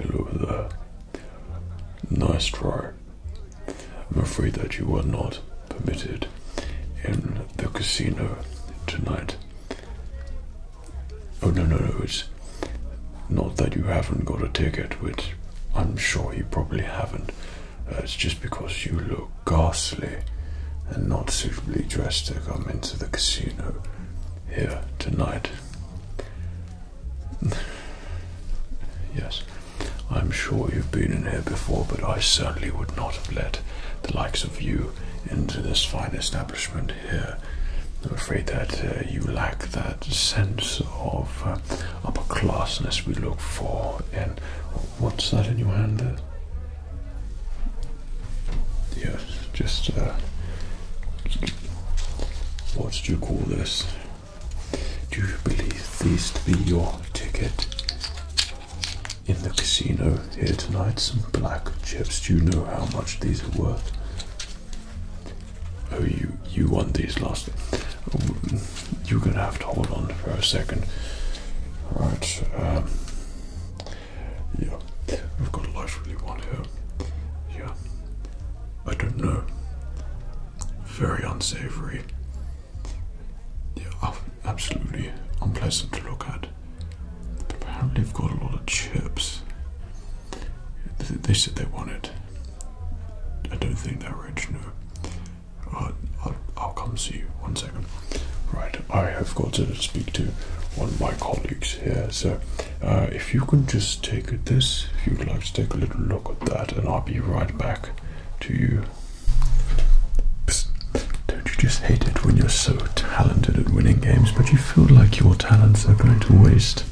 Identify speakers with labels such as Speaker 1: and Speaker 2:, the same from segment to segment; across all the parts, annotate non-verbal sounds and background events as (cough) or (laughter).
Speaker 1: Hello there. Nice try. I'm afraid that you were not permitted in the casino tonight. Oh, no, no, no, it's not that you haven't got a ticket, which I'm sure you probably haven't. Uh, it's just because you look ghastly and not suitably dressed to come into the casino here tonight. (laughs) yes, I'm sure you've been in here before, but I certainly would not have let the likes of you into this fine establishment here. I'm afraid that uh, you lack that sense of uh, upper classness we look for. And what's that in your hand there? Yes, just uh, what do you call this? Do you believe these to be your ticket in the casino here tonight? Some black chips. Do you know how much these are worth? Oh, you you want these last? you're gonna have to hold on for a second. Right. Um, yeah, I've got a life really one here. Yeah, I don't know. Very unsavory. Yeah, oh, absolutely unpleasant to look at. apparently, I've got a lot of chips. They said they wanted I don't think that are rich, I'll, come see you. One second. Right, I have got to speak to one of my colleagues here, so uh, if you can just take this, if you'd like to take a little look at that, and I'll be right back to you. Don't you just hate it when you're so talented at winning games, but you feel like your talents are going to waste?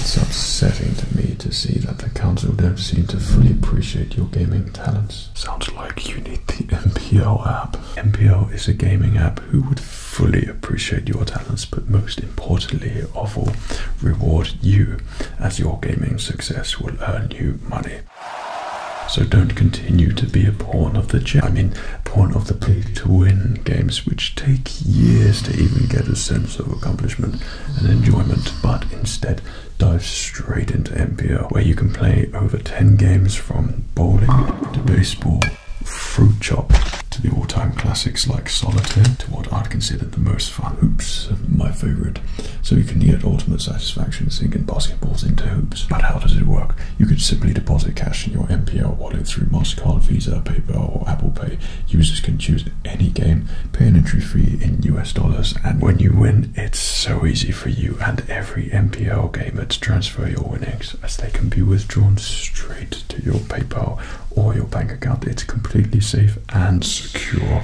Speaker 1: It's upsetting to me to see that the council don't seem to fully appreciate your gaming talents. Sounds like you need the (laughs) MPL app. MPL is a gaming app who would fully appreciate your talents, but most importantly of all, reward you as your gaming success will earn you money. So don't continue to be a pawn of the chess. I mean, pawn of the play to win games, which take years to even get a sense of accomplishment and enjoyment, but instead dive straight into MPO, where you can play over 10 games from bowling to baseball, fruit chop to the all-time classics like solitaire to what I'd consider the most fun hoops, my favorite. So you can get ultimate satisfaction sinking basketballs into hoops. But how does it work? You can simply deposit cash in your MPO wallet through MasterCard, Visa, PayPal or Apple Pay Users can choose any game, pay an entry fee in US dollars, and when you win, it's so easy for you and every MPL gamer to transfer your winnings as they can be withdrawn straight to your PayPal or your bank account. It's completely safe and secure.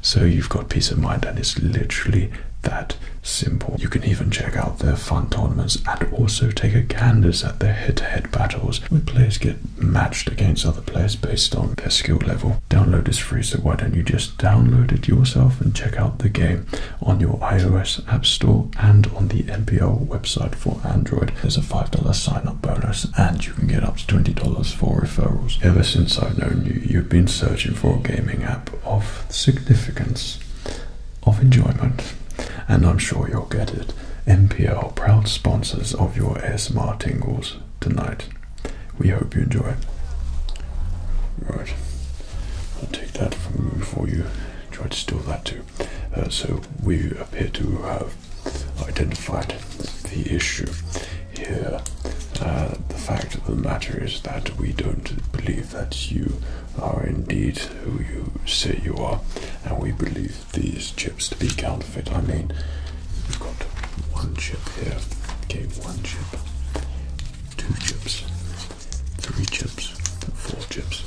Speaker 1: So you've got peace of mind and it's literally that simple. You can even check out their fun tournaments and also take a canvas at their head-to-head battles with players matched against other players based on their skill level. Download is free, so why don't you just download it yourself and check out the game on your iOS App Store and on the NPL website for Android. There's a $5 sign up bonus, and you can get up to $20 for referrals. Ever since I've known you, you've been searching for a gaming app of significance, of enjoyment, and I'm sure you'll get it. NPL proud sponsors of your ASMR Tingles tonight. We hope you enjoy. Right, I'll take that from you before you try to steal that too. Uh, so we appear to have identified the issue here. Uh, the fact of the matter is that we don't believe that you are indeed who you say you are, and we believe these chips to be counterfeit. I mean, we've got one chip here, okay, one chip, two chips, three chips, four chips,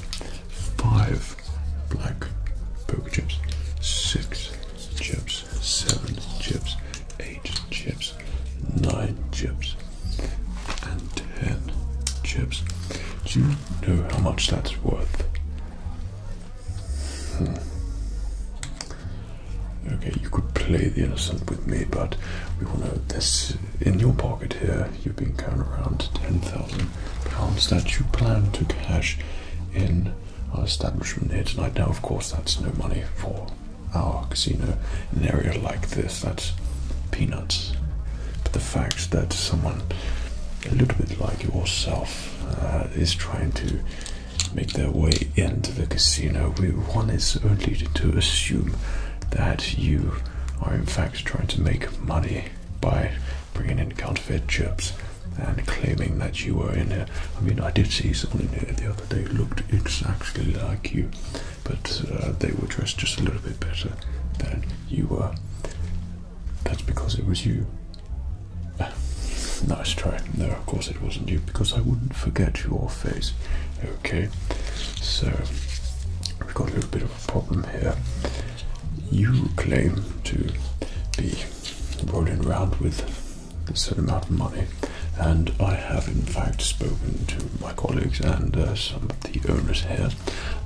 Speaker 1: five black poker chips, six chips, seven chips, eight chips, nine chips, and ten chips. Do you know how much that's worth? Hmm. Okay, you could play the innocent with me, but we want This in your pocket here. You've been counting around ten thousand pounds that you plan to cash in our establishment here tonight. Now, of course, that's no money for our casino. In an area like this, that's peanuts. But the fact that someone a little bit like yourself uh, is trying to make their way into the casino. We, one is only to assume that you are in fact trying to make money by bringing in counterfeit chips and claiming that you were in there. I mean, I did see someone in there the other day looked exactly like you, but uh, they were dressed just a little bit better than you were. That's because it was you. Ah, (laughs) nice try. No, of course it wasn't you, because I wouldn't forget your face. Okay, so we've got a little bit of a problem here. You claim to be rolling around with a certain amount of money, and I have in fact spoken to my colleagues and uh, some of the owners here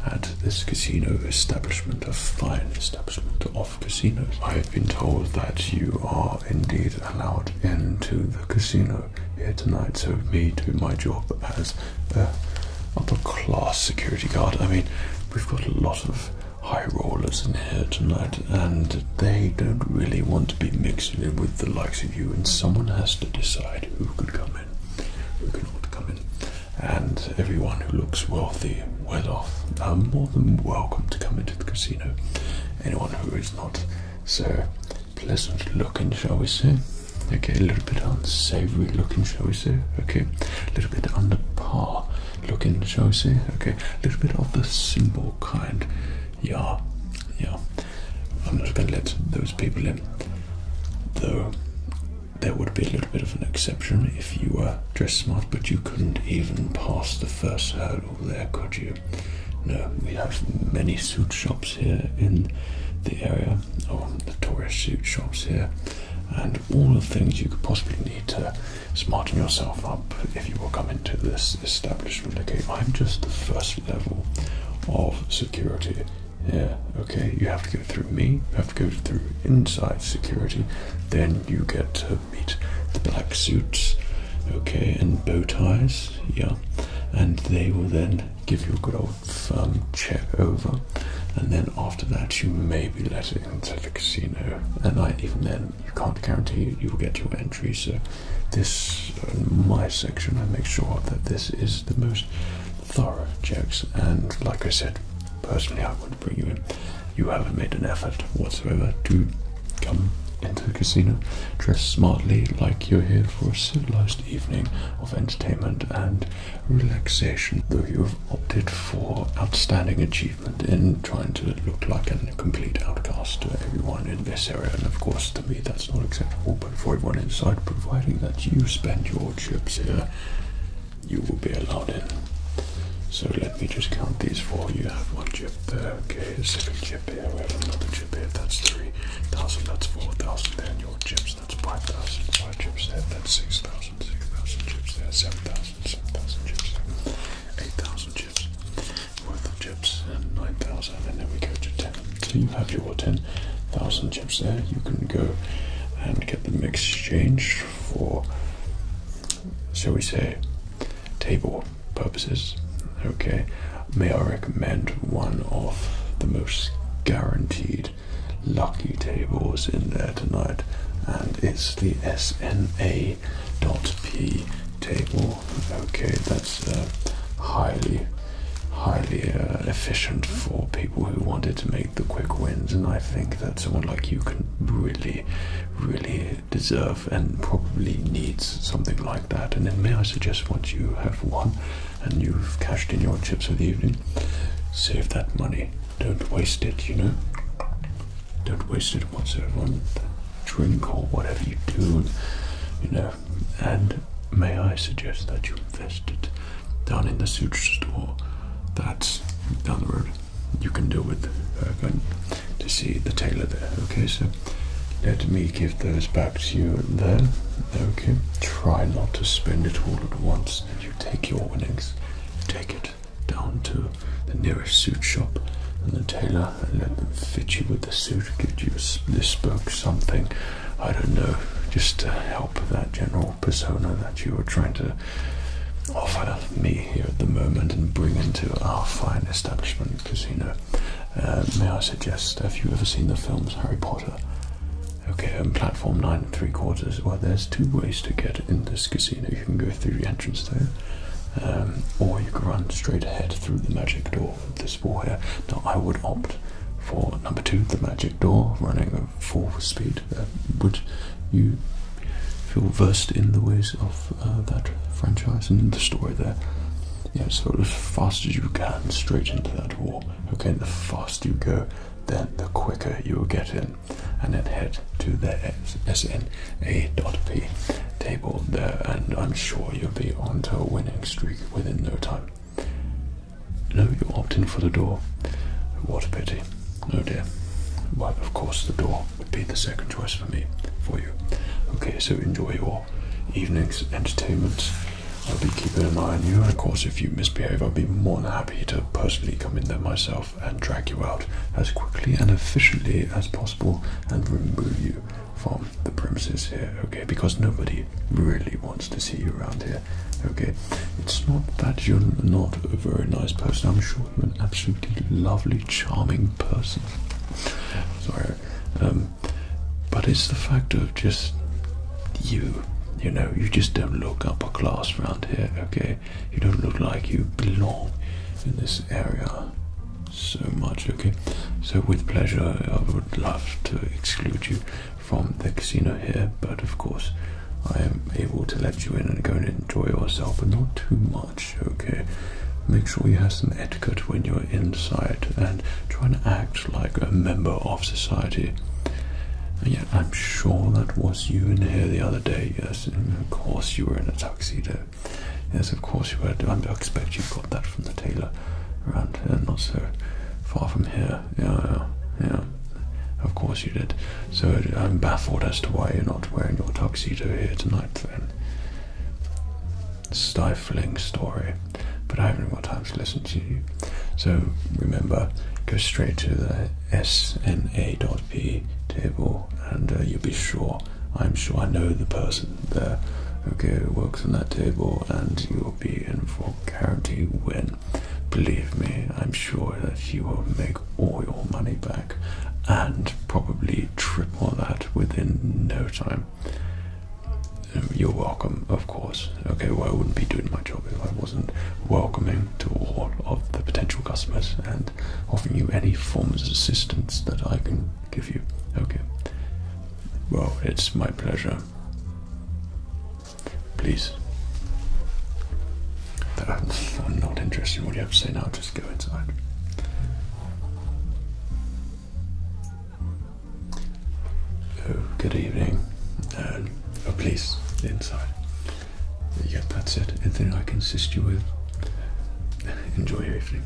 Speaker 1: at this casino establishment, a fine establishment casinos. I have been told that you are indeed allowed into the casino here tonight, so me doing my job as a upper class security guard. I mean, we've got a lot of high rollers in here tonight, and they don't really want to be mixing with the likes of you, and someone has to decide who can come in, who cannot come in. And everyone who looks wealthy well off I'm more than welcome to come into the casino. Anyone who is not so pleasant looking, shall we say? Okay, a little bit unsavory looking, shall we say? Okay, a little bit under par looking, shall we say? Okay, a little bit of the simple kind. Yeah, yeah. I'm not going to let those people in, though there would be a little bit of an exception if you were dressed smart, but you couldn't even pass the first hurdle there, could you? No, we have many suit shops here in the area, or oh, the tourist suit shops here, and all the things you could possibly need to smarten yourself up if you were coming to this establishment. Okay, I'm just the first level of security here. Okay, you have to go through me, you have to go through inside security, then you get the black suits, okay, and bow ties, yeah, and they will then give you a good old firm um, check over, and then after that you may be let into the casino, and even then you can't guarantee you will get your entry. So this, uh, my section, I make sure that this is the most thorough checks, and like I said, personally I I would bring you in. You haven't made an effort whatsoever to come into the casino. Dress smartly like you're here for a civilized evening of entertainment and relaxation, though you have opted for outstanding achievement in trying to look like a complete outcast to everyone in this area. And of course, to me, that's not acceptable, but for everyone inside, providing that you spend your chips here you will be allowed in. So let me just count these four. You have one chip there, okay, a second chip here, we have another chip here, that's 3,000, that's 4,000, then your chips, that's 5,000, 5 chips there, that's 6,000, 6,000 chips there, 7,000, 7,000 chips 8,000 chips worth of chips, and 9,000, and then we go to 10. So you have your 10,000 chips there, you can go and get them exchanged for shall we say, table purposes. Okay, may I recommend one of the most guaranteed lucky tables in there tonight, and it's the SNA.P table. Okay, that's uh, highly, highly uh, efficient for people who wanted to make the quick wins, and I think that someone like you can really really deserve and probably needs something like that. And then, may I suggest once you have won and you've cashed in your chips for the evening, save that money. Don't waste it, you know? Don't waste it whatsoever on drink or whatever you do, you know. And may I suggest that you invest it down in the suture store that's down the road you can do with going to see the tailor there. Okay, so let me give those back to you there. Okay, try not to spend it all at once. You take your winnings, take it down to the nearest suit shop and the tailor and let them fit you with a suit, give you a, this spoke something, I don't know, just to help that general persona that you are trying to to me here at the moment and bring into our fine establishment casino. Uh, may I suggest, have you ever seen the films Harry Potter? Okay, on um, platform nine and three quarters. Well, there's two ways to get in this casino. You can go through the entrance there, um, or you can run straight ahead through the magic door this ball here. Now, I would opt for number two, the magic door, running at full speed indeed. Uh, would you feel versed in the ways of uh, that franchise and the story there? Yeah, so as fast as you can, straight into that wall. Okay, the faster you go, then the quicker you will get in. And then head to the SNA.P table there, and I'm sure you'll be onto a winning streak within no time. No, you are opting for the door. What a pity. Oh dear. Well, of course, the door Repeat the second choice for me for you. Okay, so enjoy your evening's entertainments. I'll be keeping an eye on you, and of course, if you misbehave, I'll be more than happy to personally come in there myself and drag you out as quickly and efficiently as possible and remove you from the premises here, okay? Because nobody really wants to see you around here, okay? It's not that you're not a very nice person, I'm sure absolutely lovely, charming person. Sorry. Um, but it's the fact of just you. You know, you just don't look upper class around here, okay? You don't look like you belong in this area so much, okay? So, with pleasure, I would love to exclude you from the casino here, but of course, I am able to let you in and go and enjoy yourself, but not too much, okay? Make sure you have some etiquette when you're inside and try and act like a member of society. And yet, I'm sure that was you in here the other day, yes? of course, you were in a tuxedo. Yes, of course you were. I expect you got that from the tailor around here, not so far from here. yeah, yeah. Of course you did. So I'm baffled as to why you're not wearing your tuxedo here tonight then. Stifling story. But I haven't got time to listen to you. So remember, go straight to the sna.p table and uh, you'll be sure. I'm sure I know the person there. Okay, who works on that table and you'll be in for a guarantee win. Believe me, I'm sure that you will make all your money back and probably triple that within no time. You're welcome, of course. Okay, well, I wouldn't be doing my job if I wasn't welcoming to all of the potential customers and offering you any forms of assistance that I can give you. Okay. Well, it's my pleasure. Please. I'm not interested in what you have to say now, just go inside. Oh, good evening. Um, oh, please, inside. Yep, that's it. Anything I can assist you with? Enjoy your evening.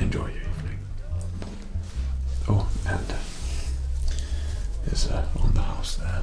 Speaker 1: Enjoy your evening. Oh, and uh, there's is uh, on the house there.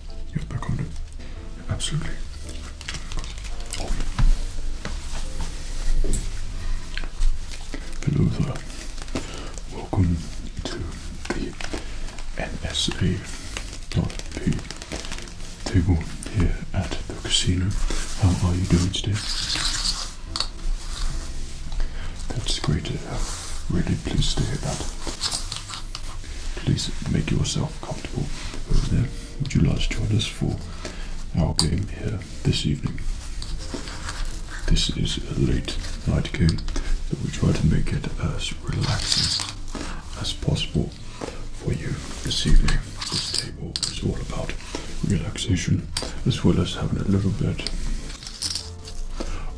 Speaker 1: Absolutely. Hello there. Welcome to the NSA.p table here at the casino. How are you doing today? That's great. Uh, really pleased to hear that. Please make yourself comfortable over there. Would you like to join us for our game here this evening? This is a late night game, but we try to make it as relaxing as possible for you this evening. This table is all about relaxation as well as having a little bit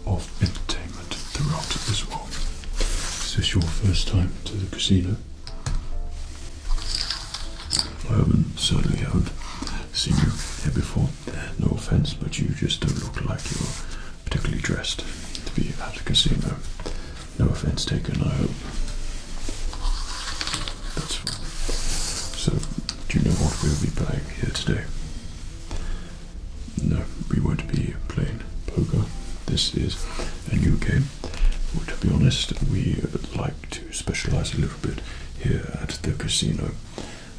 Speaker 1: of entertainment throughout this world. Is this your first time to the casino? I haven't, certainly haven't seen you here before. No offense, but you just don't look like you're particularly dressed to be at the casino. No offense taken, I hope. That's fine. So, do you know what we'll be playing here today? No, we won't be playing poker. This is a new game. Well, to be honest, we like to specialize a little bit here at the casino,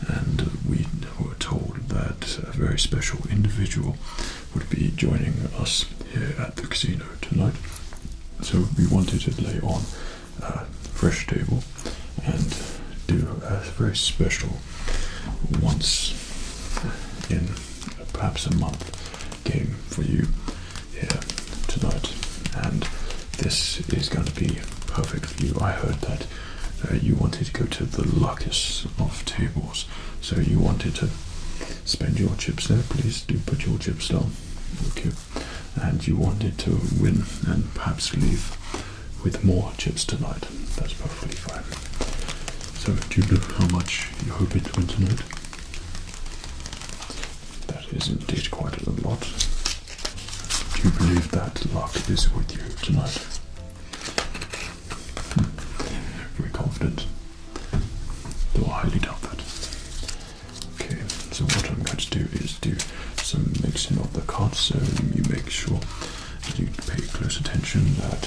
Speaker 1: and we were told that a very special individual would be joining us here at the casino tonight. So we wanted to lay on a fresh table and do a very special once in perhaps a month game for you here tonight, and this is going to be perfect for you. I heard that uh, you wanted to go to the luckiest of tables, so you wanted to spend your chips there. Please do put your chips down, okay? And you wanted to win and perhaps leave with more chips tonight. That's perfectly fine. So do you know how much you hope it went tonight? That is indeed quite a lot. Do you believe that luck is with you tonight? Hmm. Very confident. Though I highly doubt that. Okay, so what I'm going to do is do some mixing of the cards so you make sure you pay close attention that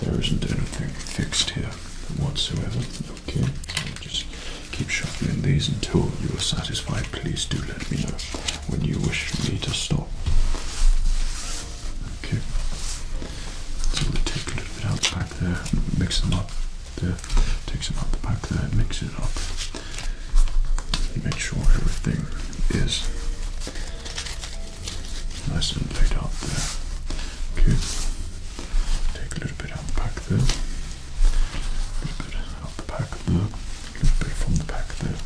Speaker 1: there isn't anything fixed here whatsoever. Okay, just keep shuffling these until you are satisfied. Please do let me know when you wish me to stop. Okay, so we take a little bit out back there, mix them up there, take some out the back there, mix it up, make sure everything is Nice and laid out there. Okay. Take a little bit out the back there. A little bit out the back there. A little bit from the back there.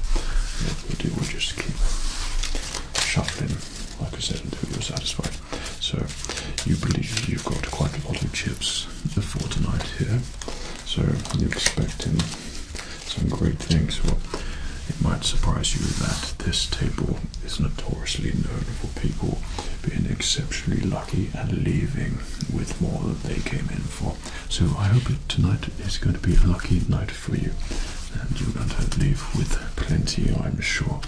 Speaker 1: Yeah, we do. We'll just keep shuffling, like I said, until you're satisfied. So you believe you've got quite a lot of chips for tonight here. So I'm expecting some great things. Well, it might surprise you that this table is notoriously known for people being exceptionally lucky and leaving with more than they came in for. So I hope tonight is going to be a lucky night for you, and you're going to leave with plenty, I'm sure.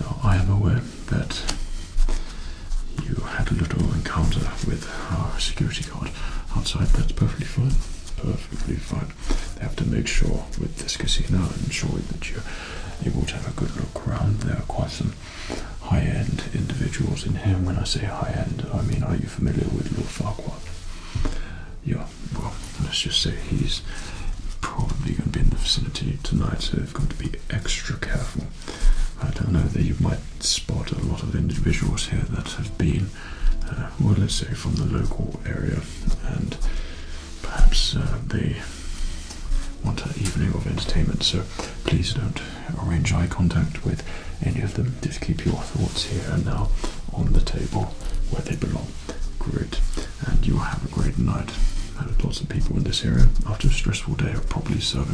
Speaker 1: Now, I am aware that you had a little encounter with our security guard outside. That's perfectly fine. Perfectly fine time. They have to make sure with this casino and sure that you're able have a good look around. There are quite some high-end individuals in here. when I say high-end, I mean are you familiar with Lord Farquhar? Yeah, well, let's just say he's probably going to be in the vicinity tonight, so we have got to be extra careful. I don't know that you might spot a lot of individuals here that have been uh, well, let's say from the local area, and perhaps uh, they want an evening of entertainment. So please don't arrange eye contact with any of them. Just keep your thoughts here and now on the table where they belong. Great, and you will have a great night. lots of people in this area after a stressful day are probably so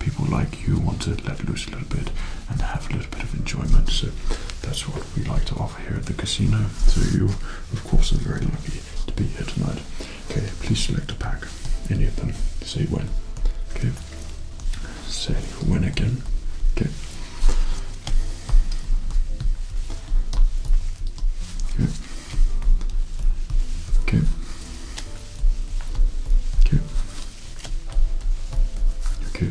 Speaker 1: people like you want to let loose a little bit and have a little bit of enjoyment. So that's what we like to offer here at the casino. So you, of course, are very lucky to be here tonight. Okay, please select a pack, any of them. Say when. Okay. Say when again. Okay. Okay. Okay. Okay. Okay.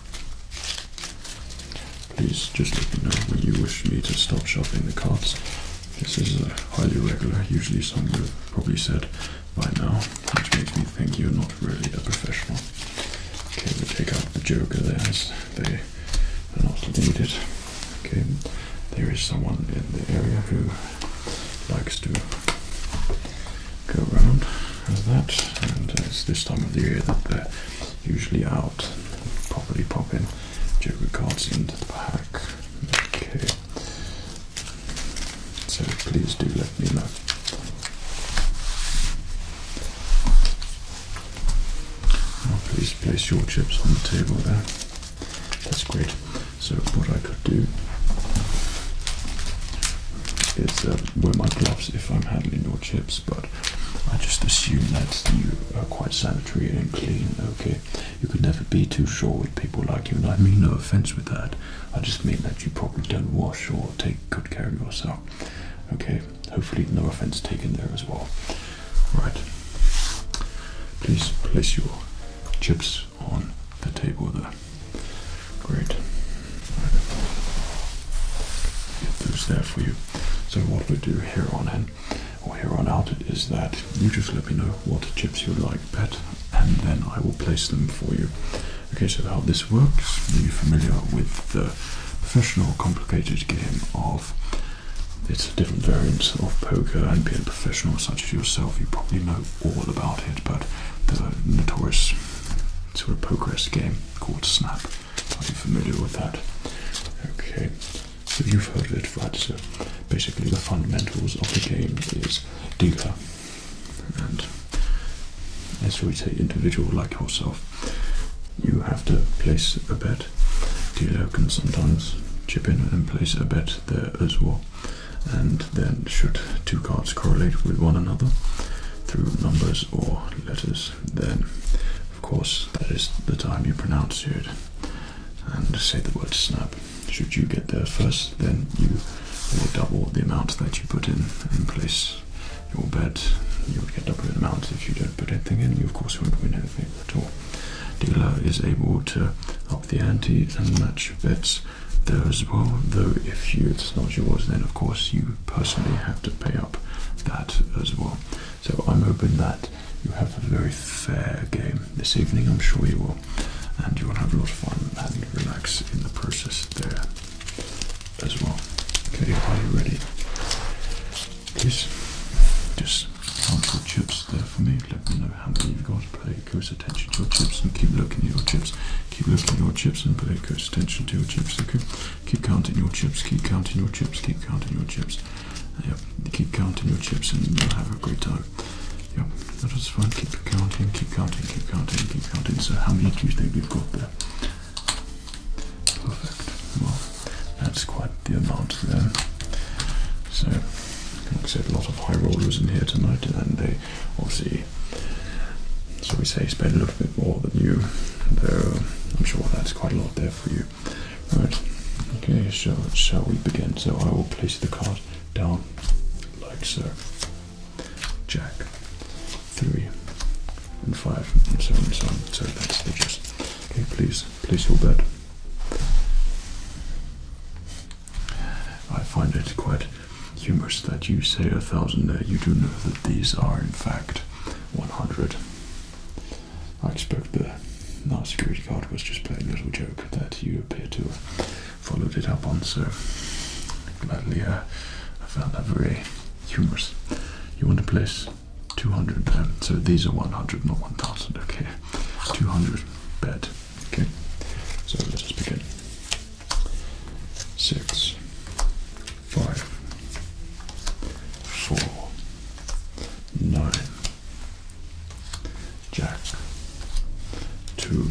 Speaker 1: Please just let me know when you wish me to stop shopping the cards. This is uh, highly regular, usually something you probably said by now, which makes me think you're not really a professional. Okay, we take out the joker there as they are not needed. Okay, there is someone in the area who likes to go around as that, and it's this time of the year that they're usually out out, properly pop in joker cards into the pack. Okay. So please do let me know. please place your chips on the table there. That's great. So what I could do is uh, wear my gloves if I'm handling your chips, but. I just assume that you are quite sanitary and clean, okay? You could never be too sure with people like you, and I mean no offense with that. I just mean that you probably don't wash or take good care of yourself, okay? Hopefully, no offense taken there as well. Right. Please place your chips on the table there. Great get those there for you. So what we do here on in or here on out is that you just let me know what chips you'd like, pet, and then I will place them for you. Okay, so how this works, are you familiar with the professional complicated game of it's a different variant of poker and being a professional such as yourself, you probably know all about it, but there's a notorious sort of pokerist game called Snap. Are you familiar with that? Okay, so you've heard of it, right? So basically, the fundamentals of the game is dealer, and as we say, individual like yourself, you have to place a bet. Dealer can sometimes chip in and place a bet there as well. And then, should two cards correlate with one another through numbers or letters, then of course, that is the time you pronounce it and say the word snap. Should you get there first, then you will double the amount that you put in in place. Your bet you will get double the amount if you don't put anything in. You of course won't win anything at all. Dealer is able to up the ante and match bets there as well. Though if you it's not yours, then of course you personally have to pay up that as well. So I'm hoping that you have a very fair game this evening. I'm sure you will, and you will have a lot of fun and relax in the process there as well. Okay, are you ready? Please just count your chips there for me. Let me know how many you've got. Pay close attention to your chips and keep looking at your chips. Keep looking at your chips and pay close attention to your chips. Okay. Keep counting your chips, keep counting your chips, keep counting your chips. Uh, yep, keep counting your chips and you'll have a great time. Yep, that is fine. Keep counting, keep counting, keep counting, keep counting. So, how many do you think you've got there? Perfect. Well, that's quite the amount there. So, like I said, a lot of high rollers in here tonight, and they obviously, so we say, spend a little bit more than you, though um, I'm sure that's quite a lot there for you. Right, okay, so shall we begin? So I will place the cards down like so. Jack, three, and five, and so on and so on. So that's the gist. Okay, please place your bet. I find it quite humorous that you say a thousand there. You do know that these are in fact 100. I expect the last security guard was just playing a little joke that you appear to have followed it up on, so gladly uh, I found that very humorous. You want to place 200, um, so these are 100, not 1000, okay? 200 bet. okay? So let us just begin. 6, five, four, nine, jack, two,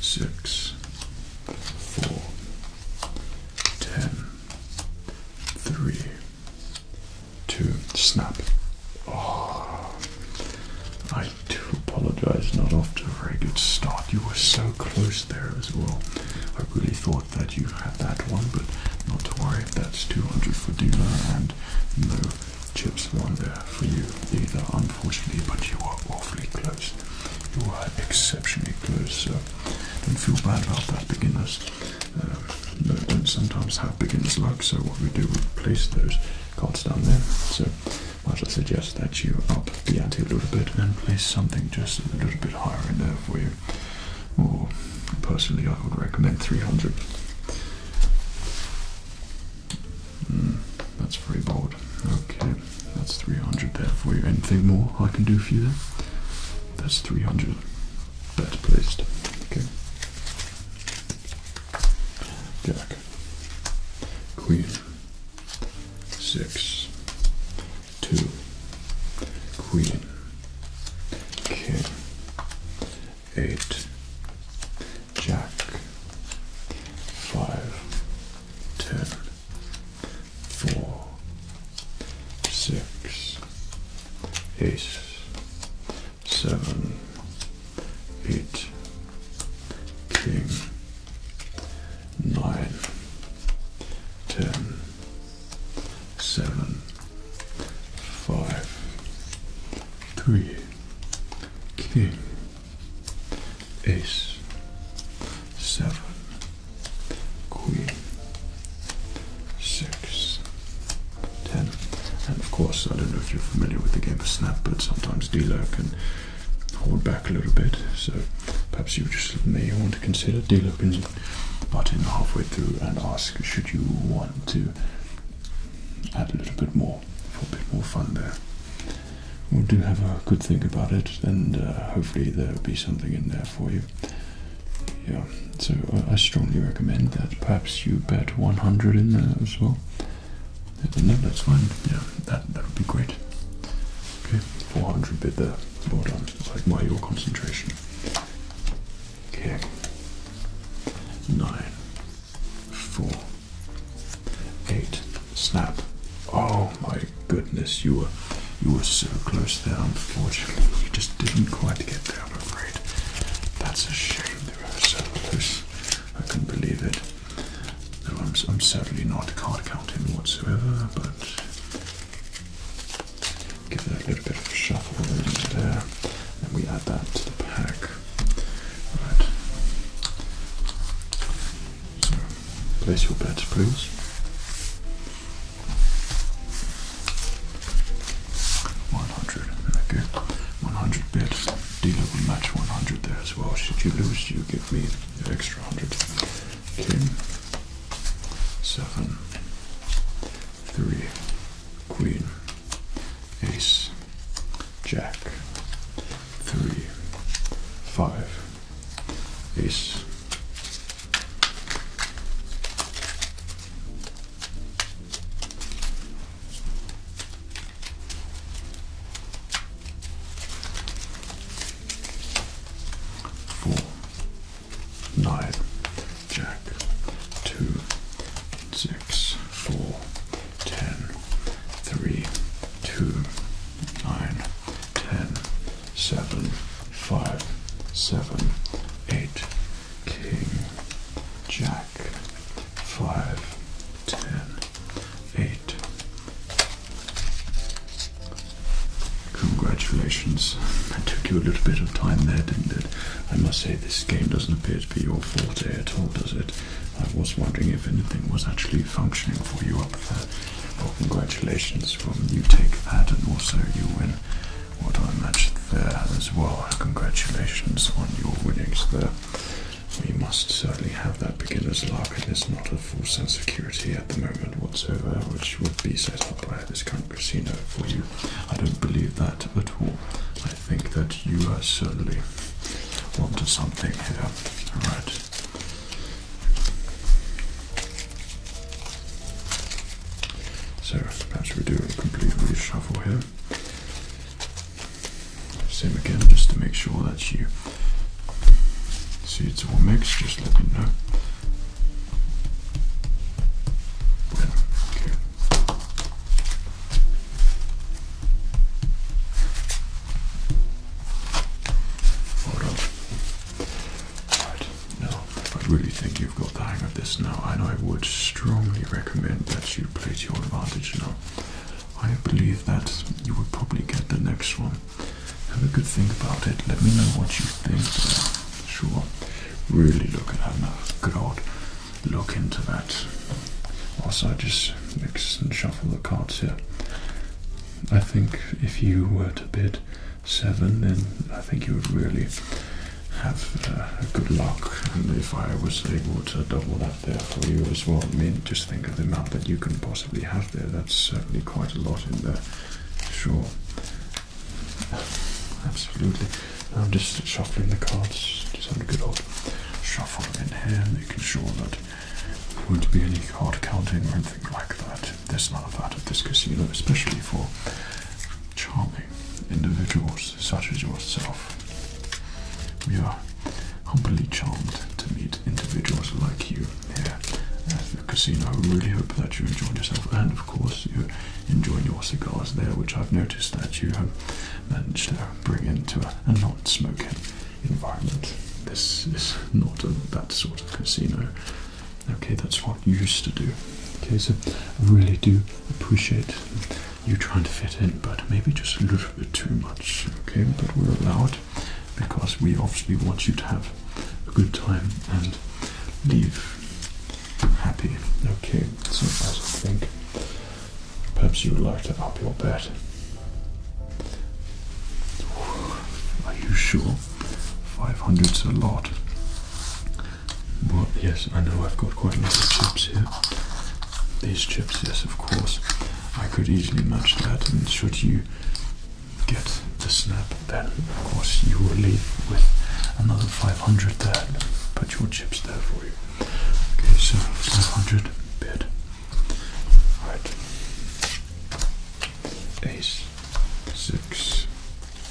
Speaker 1: six, four, ten, three, two, snap. Oh, I do apologize, not off to a very good start. You were so close there as well. I really thought that you had that one, but not to worry, that's 200 for dealer and no chips were on there for you either, unfortunately, but you are awfully close. You are exceptionally close, so don't feel bad about that, beginners. Uh, no, don't sometimes have beginner's luck, so what we do, we place those cards down there. So might I suggest that you up the ante a little bit and place something just a little bit higher in there for you. personally, I would recommend 300. Hmm, that's very bold. Okay, that's 300 there for you. Anything more I can do for you there? That's 300. Better placed. Okay. Jack. Queen six, two, queen, king, eight, jack, five, ten, four, six, ace, seven, eight, king, nine, ten, seven, five, three, king, ace, seven, queen, six, ten. And of course, I don't know if you're familiar with the game of snap, but sometimes dealer can hold back a little bit. So perhaps you just may want to consider delocking the button halfway through and ask should you want to add a little bit more for a bit more fun there. We'll do have a good think about it and uh, hopefully there'll be something in there for you. Yeah, so uh, I strongly recommend that perhaps you bet 100 in there as well. Uh, no, that's fine. Yeah, that, that would be great. Okay, 400 bid there. Well done um, so your concentration. Okay. Nine, four, eight. Snap. Oh my goodness, you were you were so close there. Unfortunately, you just didn't quite get there. I'm afraid. That's a shame. They were so close. I can not believe it. No, I'm, I'm certainly not card counting whatsoever, but Give that a little bit of a shuffle in there, and we add that to the pack. Right. place your bets, please. One hundred. Okay. One hundred bets. Dealer will match one hundred there as well. Should you lose, you give me an extra hundred. Okay seven, three, queen, ace, jack, three, five, ace four, nine, jack, two, six, four, ten, three, two, nine, ten, seven, five, seven, eight, king, jack, five, ten, eight, Congratulations. It took you a little bit of time there, didn't it? I must say, this game doesn't appear to be your forte at all, does it? I was wondering if anything was actually functioning for you up there. Well, congratulations. Well, you take that, and also you win what I matched there as well. Congratulations on your winnings there. We must certainly have that beginner's luck, and it's not full sense of security at the moment whatsoever, which would be set up by this kind of casino for you. I don't believe that at all. I think that you are certainly onto something here. Alright. So perhaps we do a complete reshuffle here. Same again, just to make sure that you See, it's all mixed, just let me know. Yeah, okay. I really think you've got the hang of this now, and I would strongly recommend that you play to your advantage now. I believe that you will probably get the next one have a good think about it. Let me know what you think. sure. Really look at having a good old look into that. Also, I just mix and shuffle the cards here. I think if you were to bid seven, then I think you would really have uh, a good luck. And if I was able to double that there for you as well, I mean, just think of the amount that you can possibly have there. That's certainly quite a lot in there. Sure. Absolutely. I'm just shuffling the cards, just have a good old shuffle in here, making sure that there won't be any card counting or anything like that. There's none of part of this casino, especially for charming individuals such as yourself. We are humbly charmed to meet individuals like you yeah, at the casino. I really hope that you enjoyed yourself and, of course, you enjoyed your cigars there, which I've noticed that you have managed to bring into a, a non smoking environment. This is not that sort of casino. Okay, that's what you used to do. Okay, so I really do appreciate you trying to fit in, but maybe just a little bit too much. Okay, but we're allowed because we obviously want you to have a good time and leave happy. Okay, so I think perhaps you would like to up your bet. Are you sure? 500's a lot. Well, yes, I know I've got quite a lot of chips here. These chips, yes, of course. I could easily match that, and should you get the snap, then of course you will leave with another 500 there. Put your chips there for you. Okay, so 500 bid. Right. Ace, six,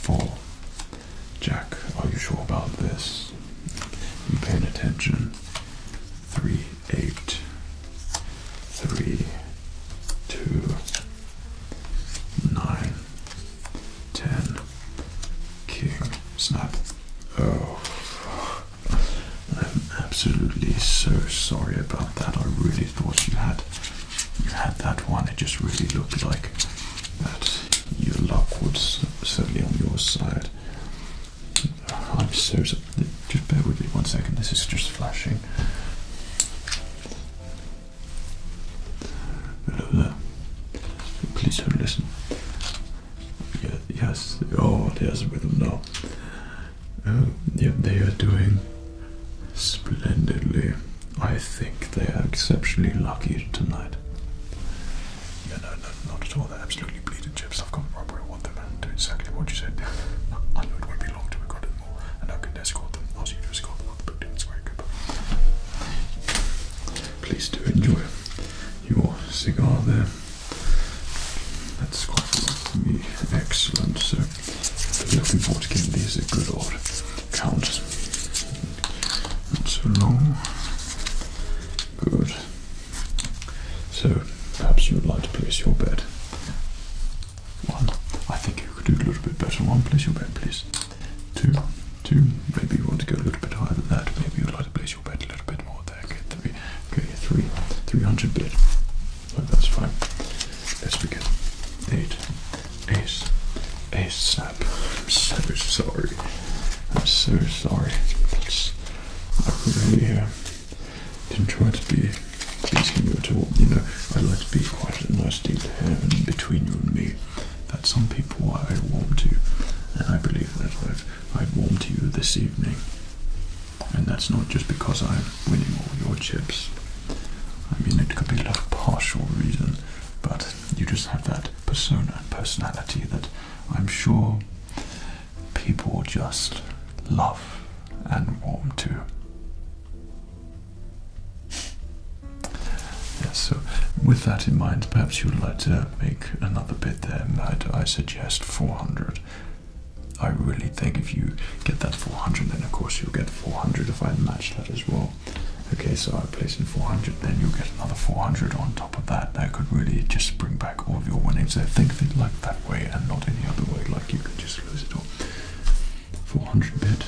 Speaker 1: four. Jack, are you sure about this? You paying attention? Three, eight, three, two, nine, ten, king, snap. Oh, I'm absolutely so sorry about that. I really thought you had you had that one. It just really looked like that. Your luck was certainly on your side. I'm so sorry just bear with me one second, this is just flashing. Hello Please don't listen. Yeah, yes, oh, there's a rhythm now. they are doing splendidly. I think they are exceptionally lucky tonight. Yeah, no, no, not at all. They're absolutely bleeding chips. I've got right where I want them do exactly what you said. (laughs) I know it won't be long till we've got Please do enjoy your cigar there. That's quite for me. Excellent. So, looking forward to getting these a good old count. Not so long. Good. So, perhaps you would like to place your bet. One. I think you could do a little bit better. One, place your bet, please. Two. Two. Maybe you want to go a little bit higher than that. Maybe you'd like to place your bet a little bit more there. Okay, three. Okay, three. 300 bit. Oh, that's fine. Let's begin. Eight. Ace. Ace snap. I'm so sorry. I'm so sorry. That's, I really am. Uh, didn't try to be pleasing you at all. You know, I like to be quite a nice deal here and between you and me. That some people I warm to, and I believe that I've I've warmed to you this evening. And that's not just because I'm winning all your chips. I mean, it could be a partial reason, but you just have that persona and personality that I'm sure people just love and warm to. Yes, so with that in mind, perhaps you would like to make another bid there, I suggest 400. I really think if you get that 400, then of course you'll get 400 if I match that as well. Okay, so I place in 400, then you get another 400 on top of that. That could really just bring back all of your winnings. I think of it like that way and not any other way, like you could just lose it all. 400 bit.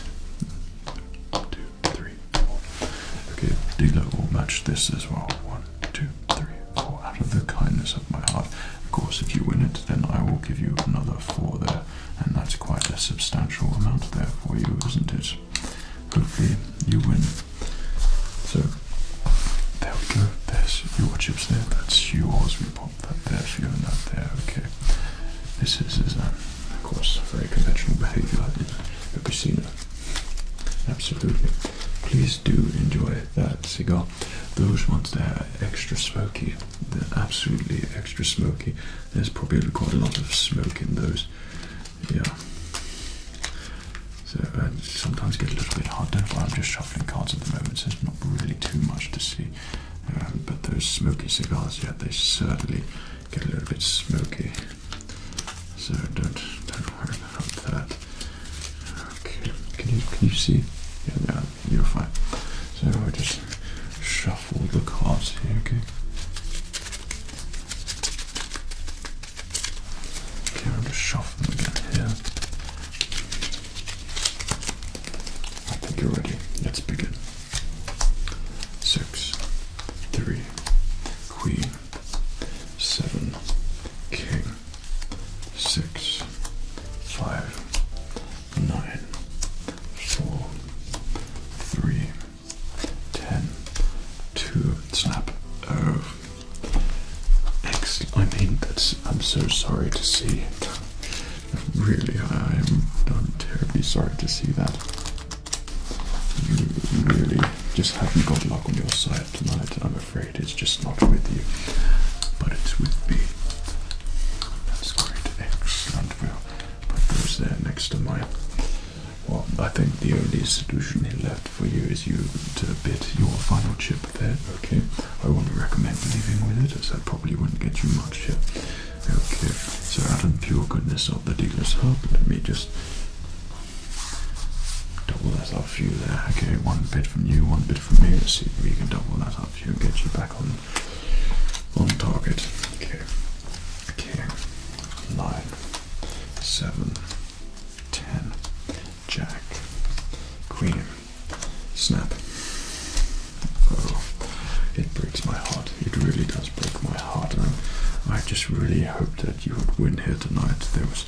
Speaker 1: One, two, three, four. Okay, dealer will match this as well. One, two, three, four. Out of the kindness of my heart. Of course, if you win it, then I will give you another four there, and that's quite a substantial amount there for you, isn't it? Hopefully, you win. So, there we go. There's your chips there. That's yours. We pop there for you and that there, okay. This is, of course, very conventional behaviour in seen casino. Absolutely. Please do enjoy that cigar. Those ones there are extra smoky. they absolutely extra smoky. There's probably quite a lot of smoke in those. Yeah. So I sometimes get a little bit hard. do I'm just shuffling cards at the moment, so there's not really too much to see. Um, but those smoky cigars, yeah, they certainly get a little bit smoky. So don't don't worry about that. can you can you see? Yeah, yeah, you're fine. So I will just shuffle the cards here, okay? Okay, I'll just shuffle again here. I think you're ready. Let's begin. Six, three, queen, seven, king, six, five, nine, four, three, ten, two, snap. Oh, excellent. I mean, that's. I'm so sorry to see it. Really, I'm, terribly sorry to see that. You really just haven't got luck on your side tonight. I'm afraid it's just not with you, but it's with me. That's great, excellent. We'll put there next to mine. Well, I think the only solution left for you is you to bid your final chip there. Okay, I wouldn't recommend leaving with it as that probably wouldn't get you much here. Okay, so out of pure goodness of the dealer's hub, let me just double that up for you there. Okay, one bid from you, one bid from me. Let's see if we can double that up for get you back on on target. Okay, okay, nine, seven, ten, jack, queen. Snap. Oh, it breaks my heart. It really does break my heart. And I just really hoped that you would win here tonight. There was,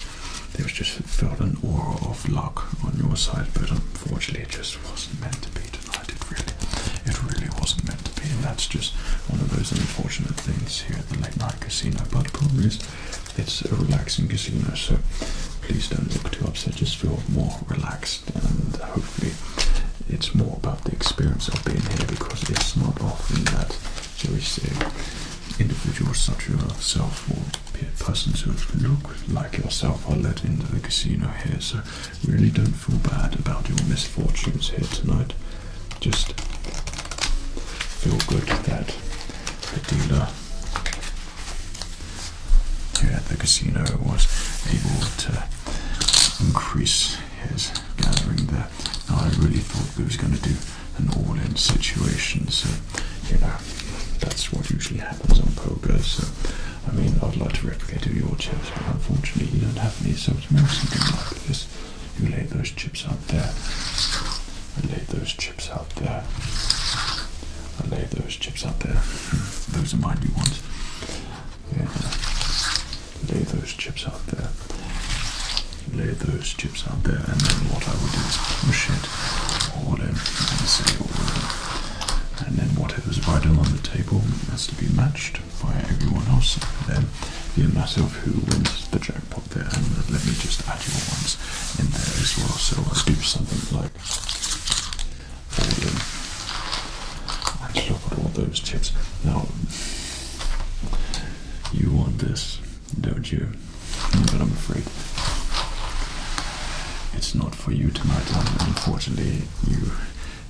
Speaker 1: there was just felt an aura of luck on your side, but unfortunately, it just wasn't meant to be tonight. It really, it really wasn't meant to be, and that's just one of those unfortunate things here at the late night casino. But the it's a relaxing casino, so please don't look too upset just feel more relaxed and hopefully it's more about the experience of being here because it's not often that, you see individuals such as yourself or persons who look like yourself are let into the casino here. So really don't feel bad about your misfortunes here tonight. Just feel good that the dealer here at the casino was able to increase his gathering there. I really thought he was going to do an all-in situation, so you know that's what usually happens on poker. So I mean, I'd like to replicate your chips, but unfortunately you don't have any. So to make something like this, you lay those chips out there. I lay those chips out there. I lay those chips out there. Those are my new ones. Yeah. Lay those chips out there. Lay those chips out there, and then what I would do is push it all in and say And then whatever's vital on the table has to be matched by everyone else. And then the amount of who wins the jackpot there. And let me just add your ones in there as well. So I'll do something like Folded. look at all those chips. Now, you want this, don't you? But I'm afraid it's not for you tonight. Unfortunately, you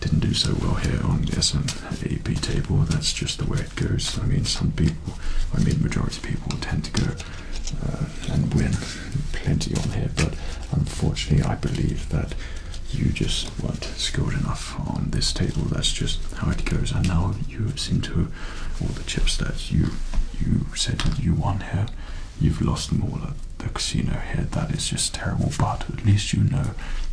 Speaker 1: didn't do so well here on the SNAP table. That's just the way it goes. I mean, some people, I mean, majority people tend to go uh, and win plenty on here, but unfortunately, I believe that you just weren't skilled enough on this table. That's just how it goes. And now you seem to all the chip stats. you you said you won here, you've lost them all at the casino here. That is just terrible. But at least you know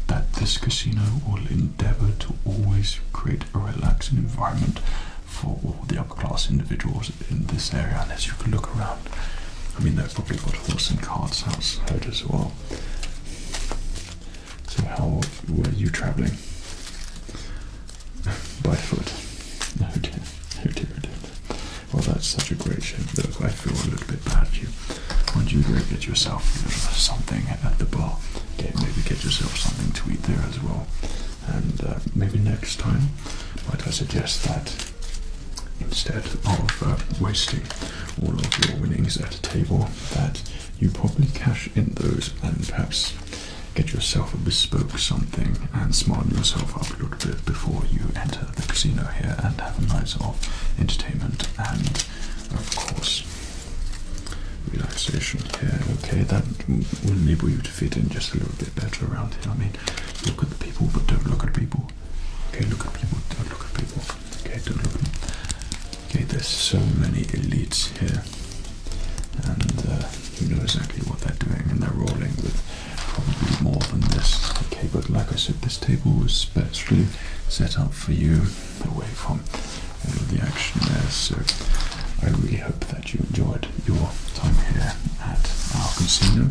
Speaker 1: that this casino will endeavour to always create a relaxing environment for all the class individuals in this area, and as you can look around, I mean, they've probably got horse and carts outside as well. So, how were you traveling? (laughs) By foot. No, oh, dear, oh dear, oh dear. Well, that's such a great shape, Look, I feel a little bit bad for you. Why don't you go get yourself something at the bar? Okay, maybe get yourself something to eat there as well. And uh, maybe next time, might I suggest that instead of uh, wasting all of your winnings at a table that you probably cash in those and perhaps get yourself a bespoke something and smarten yourself up a little bit before you enter the casino here and have a nice night of entertainment and of course relaxation here okay that will enable you you to fit in just a little bit better around here. I mean, look at the people, but don't look at people. Okay, look at people, don't look at people. Okay, don't look at them. Okay, there's so many elites here, and uh, you know exactly what they're doing, and they're rolling with probably more than this. Okay, but like I said, this table was specially set up for you, away from all uh, of the action there. So I really hope that you enjoyed your time here at our casino,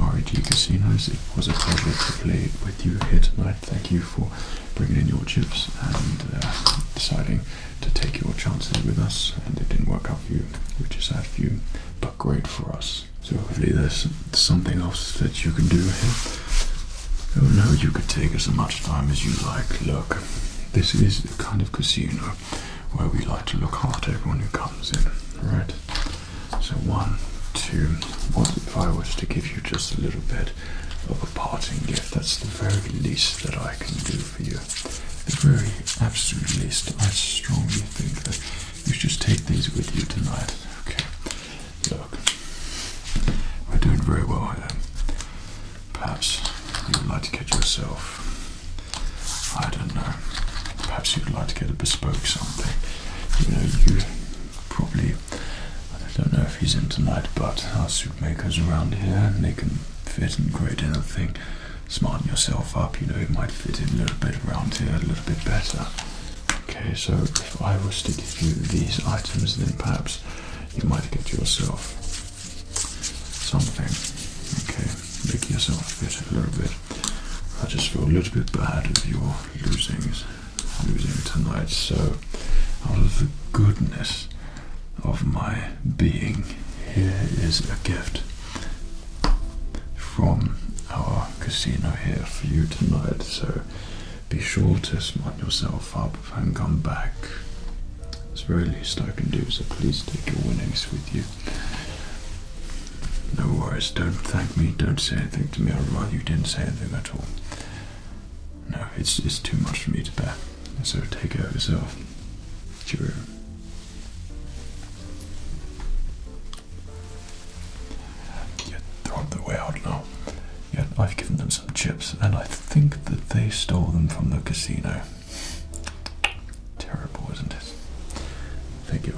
Speaker 1: REG Casinos. It was a pleasure to play with you here tonight. Thank you for bringing in your chips and uh, deciding to take your chances with us. And it didn't work out for you, which is sad for you, but great for us. So hopefully there's something else that you can do here. Oh no, you could take as much time as you like. Look, this is the kind of casino where we like to look after everyone who comes in. Right? So, one, two. What if I was to give you just a little bit of a parting gift? That's the very least that I can do for you. The very absolute least. I strongly think that you should take these with you tonight. Okay. Look, we're doing very well here. Perhaps you would like to get yourself I don't know. Perhaps you'd like to get a bespoke something. You know, you probably. I don't know if he's in tonight, but our suit around here, they can fit and create anything. Smarten yourself up, you know, it might fit in a little bit around here, a little bit better. Okay, so if I was to give you these items, then perhaps you might get yourself something. Okay, make yourself fit a little bit. I just feel a little bit bad if you're losing, tonight. So, out of the goodness of my being, here is a gift from our casino here for you tonight. So, be sure to smart yourself up and come back. It's the very least I can do, so please take your winnings with you. No worries, don't thank me, don't say anything to me. I'd rather you didn't say anything at all. No, it's, it's too much for me to bear. So take care of yourself. Cheerio. Yeah, they're on their way out now. Yeah, I've given them some chips, and I think that they stole them from the casino. Terrible, isn't it? Thank you.